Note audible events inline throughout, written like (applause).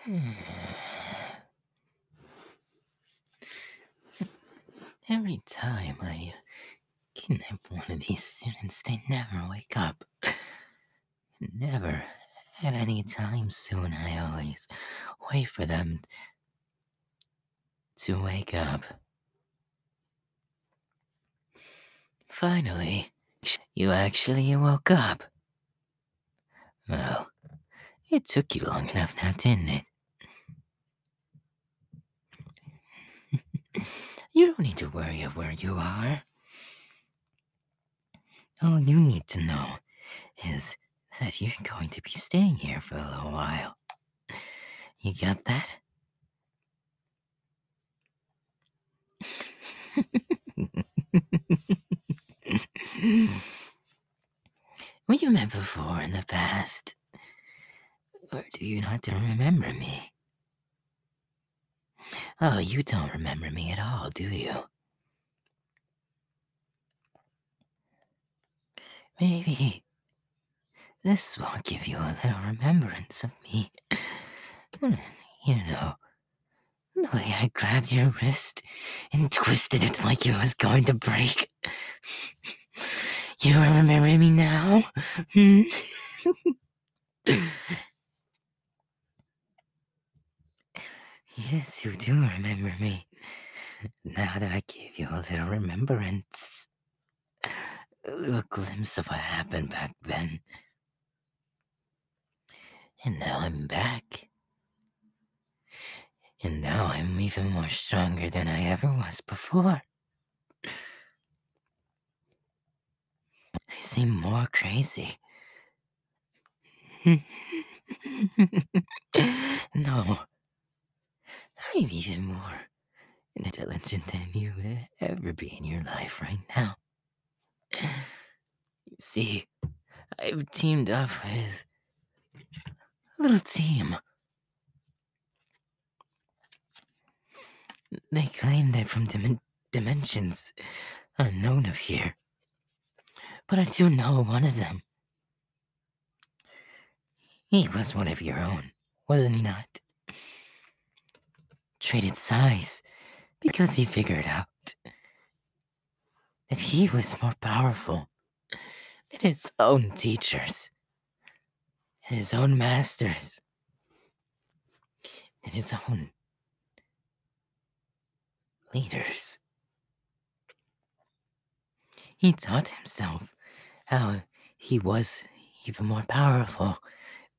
(sighs) Every time I kidnap one of these students, they never wake up. Never. At any time soon, I always wait for them to wake up. Finally, you actually woke up. Well, it took you long enough now, didn't it? (laughs) you don't need to worry of where you are. All you need to know is that you're going to be staying here for a little while. You got that? Were you met before in the past? Or do you not remember me? Oh, you don't remember me at all, do you? Maybe this will give you a little remembrance of me. Hmm, you know, the way I grabbed your wrist and twisted it like it was going to break. You remember me now? Hmm? yes, you do remember me. Now that I give you a little remembrance, a little glimpse of what happened back then. And now I'm back. And now I'm even more stronger than I ever was before. I seem more crazy. (laughs) no, I'm even more intelligent than you would ever be in your life right now. You see, I've teamed up with a little team. They claim they're from dimensions unknown of here. But I do know one of them. He was one of your own, wasn't he not? Traded size because he figured out that he was more powerful than his own teachers, his own masters, and his own leaders. He taught himself how he was even more powerful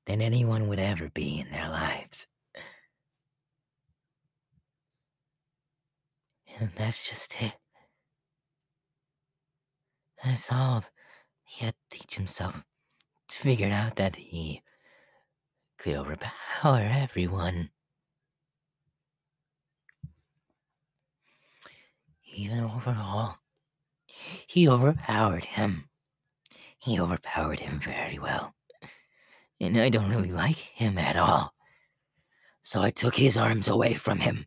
than anyone would ever be in their lives. And that's just it. That's all he had to teach himself to figure out that he could overpower everyone. Even overall, he overpowered him. He overpowered him very well. And I don't really like him at all. So I took his arms away from him.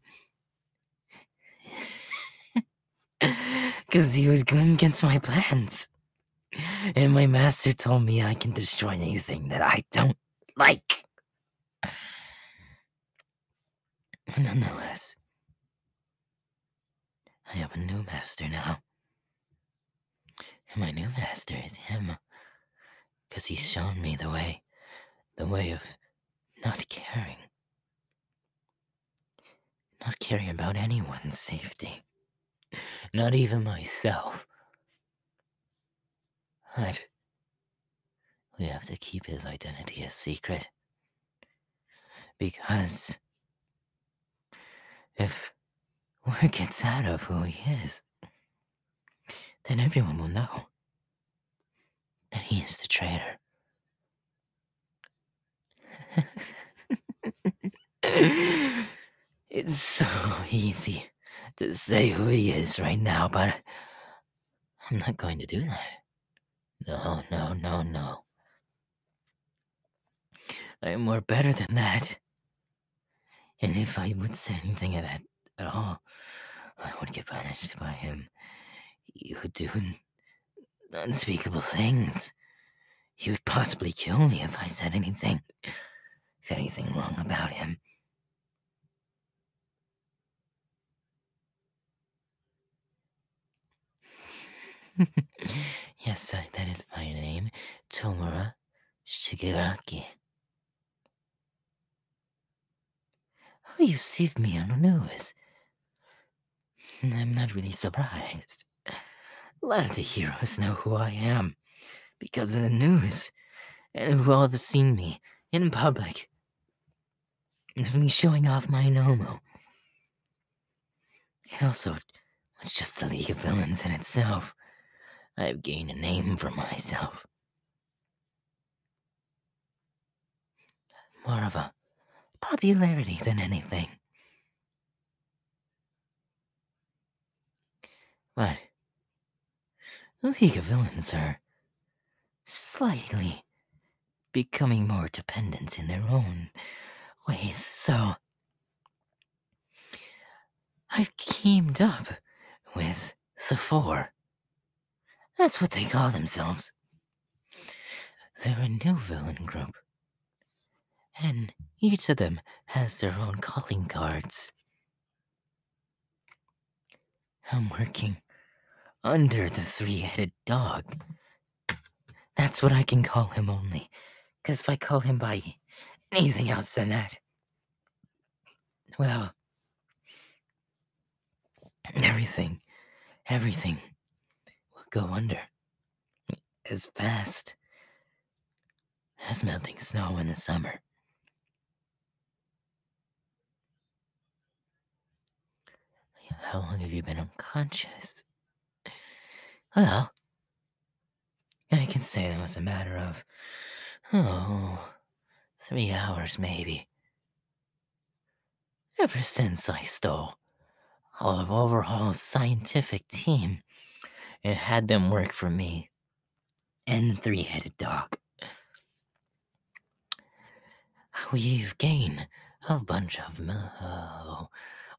Because (laughs) he was going against my plans. And my master told me I can destroy anything that I don't like. Nonetheless, I have a new master now. And my new master is him. Because he's shown me the way, the way of not caring. Not caring about anyone's safety. Not even myself. But we have to keep his identity a secret. Because if word gets out of who he is, then everyone will know that he is the traitor. (laughs) it's so easy to say who he is right now, but I'm not going to do that. No, no, no, no. I am more better than that. And if I would say anything of that at all, I would get punished by him. He would do unspeakable things. You'd possibly kill me if I said anything. Said anything wrong about him. (laughs) yes, I, that is my name, Tomura Shigaraki. Oh, you saved me on the news. I'm not really surprised. A lot of the heroes know who I am because of the news and who all have seen me in public. Me showing off my Nomo. And also, it's just the League of Villains in itself. I have gained a name for myself. More of a popularity than anything. What? the League of Villains are slightly becoming more dependent in their own ways, so I've teamed up with the Four. That's what they call themselves. They're a new villain group and each of them has their own calling cards. I'm working under the three headed dog. That's what I can call him Only, 'cause if I call him by anything else than that, well, everything, everything will go under as fast as melting snow in the summer. How long have you been unconscious? Well, I can say that was a matter of, oh, three hours maybe. Ever since I stole, ISTO, of overhaul's scientific team, and had them work for me and three headed dog. We've gained a bunch of uh,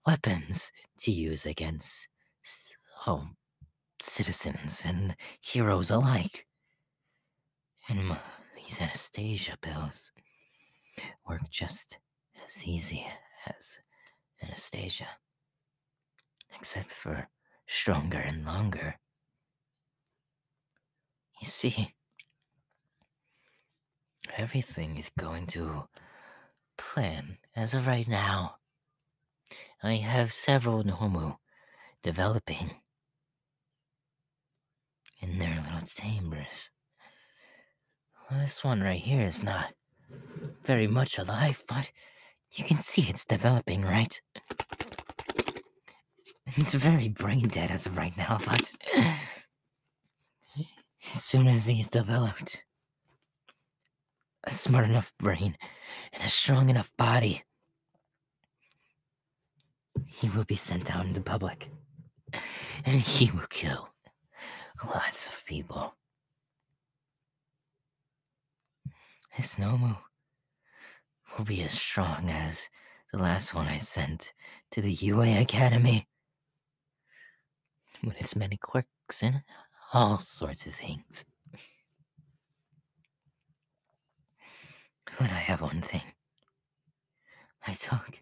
weapons to use against all oh, citizens and heroes alike. And uh, these anesthesia pills work just as easy as anesthesia, except for stronger and longer. You see, everything is going to plan as of right now. I have several Nomu developing in their little chambers. this one right here is not very much alive, but you can see it's developing, right? It's very brain dead as of right now, but as soon as he's developed a smart enough brain and a strong enough body, he will be sent out into public. And he will kill lots of people. This Nomu will be as strong as the last one I sent to the UA Academy. With its many quirks and all sorts of things. But I have one thing I talk.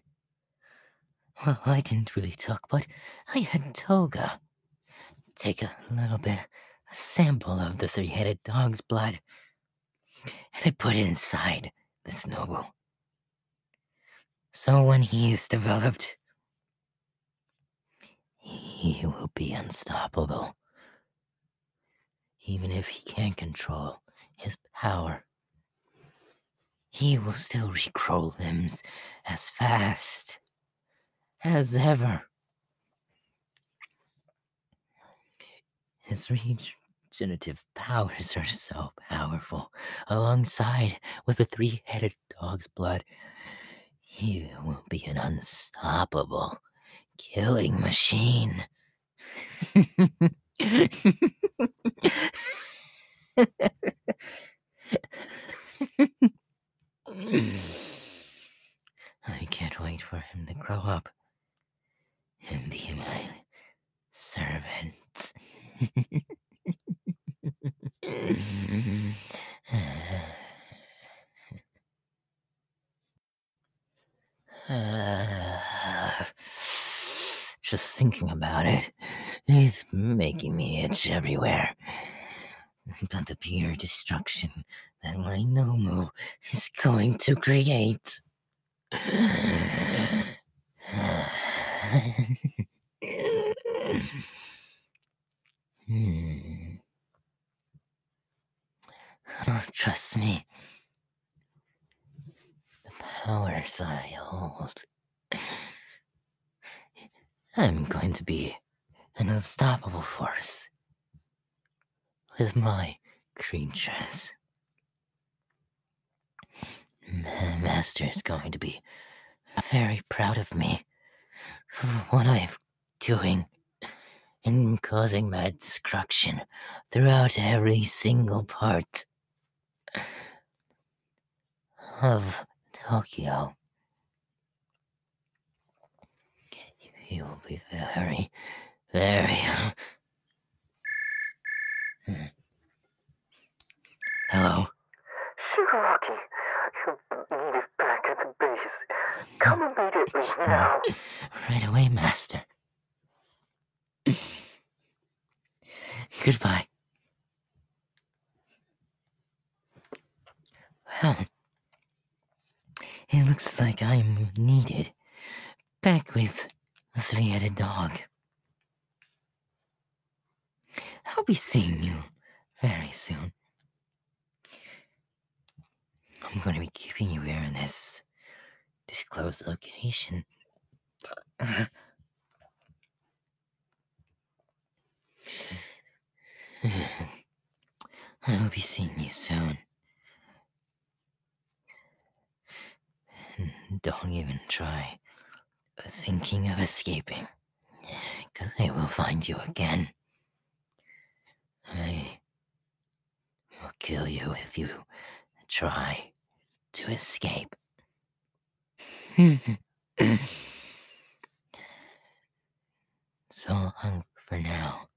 Well, I didn't really talk, but I had Toga take a little bit, a sample of the three headed dog's blood, and I put it inside the snowball. So when he is developed, he will be unstoppable. Even if he can't control his power, he will still regrow limbs as fast as ever. His regenerative powers are so powerful. Alongside with the three headed dog's blood, he will be an unstoppable killing machine. I can't wait for him to grow up and be my servant. (laughs) (laughs) (sighs) just thinking about it, it's making me itch everywhere. But the pure destruction that my Nomo is going to create. (sighs) Hmm. Don't (laughs) trust me. The powers I hold. (sighs) I'm going to be an unstoppable force. With my creatures. Master is going to be very proud of me. What I've doing and causing my destruction throughout every single part of Tokyo. You will be very, very (laughs) Hello. Shigaraki, you Come immediately now. (laughs) Right away, Master. Goodbye. Well, it looks like I'm needed. Back with the three headed dog. I'll be seeing you very soon. I'm going to be keeping you here in this disclosed location. (sighs) I will be seeing you soon. Don't even try thinking of escaping. Because they will find you again. I will kill you if you try to escape. (laughs) so long for now.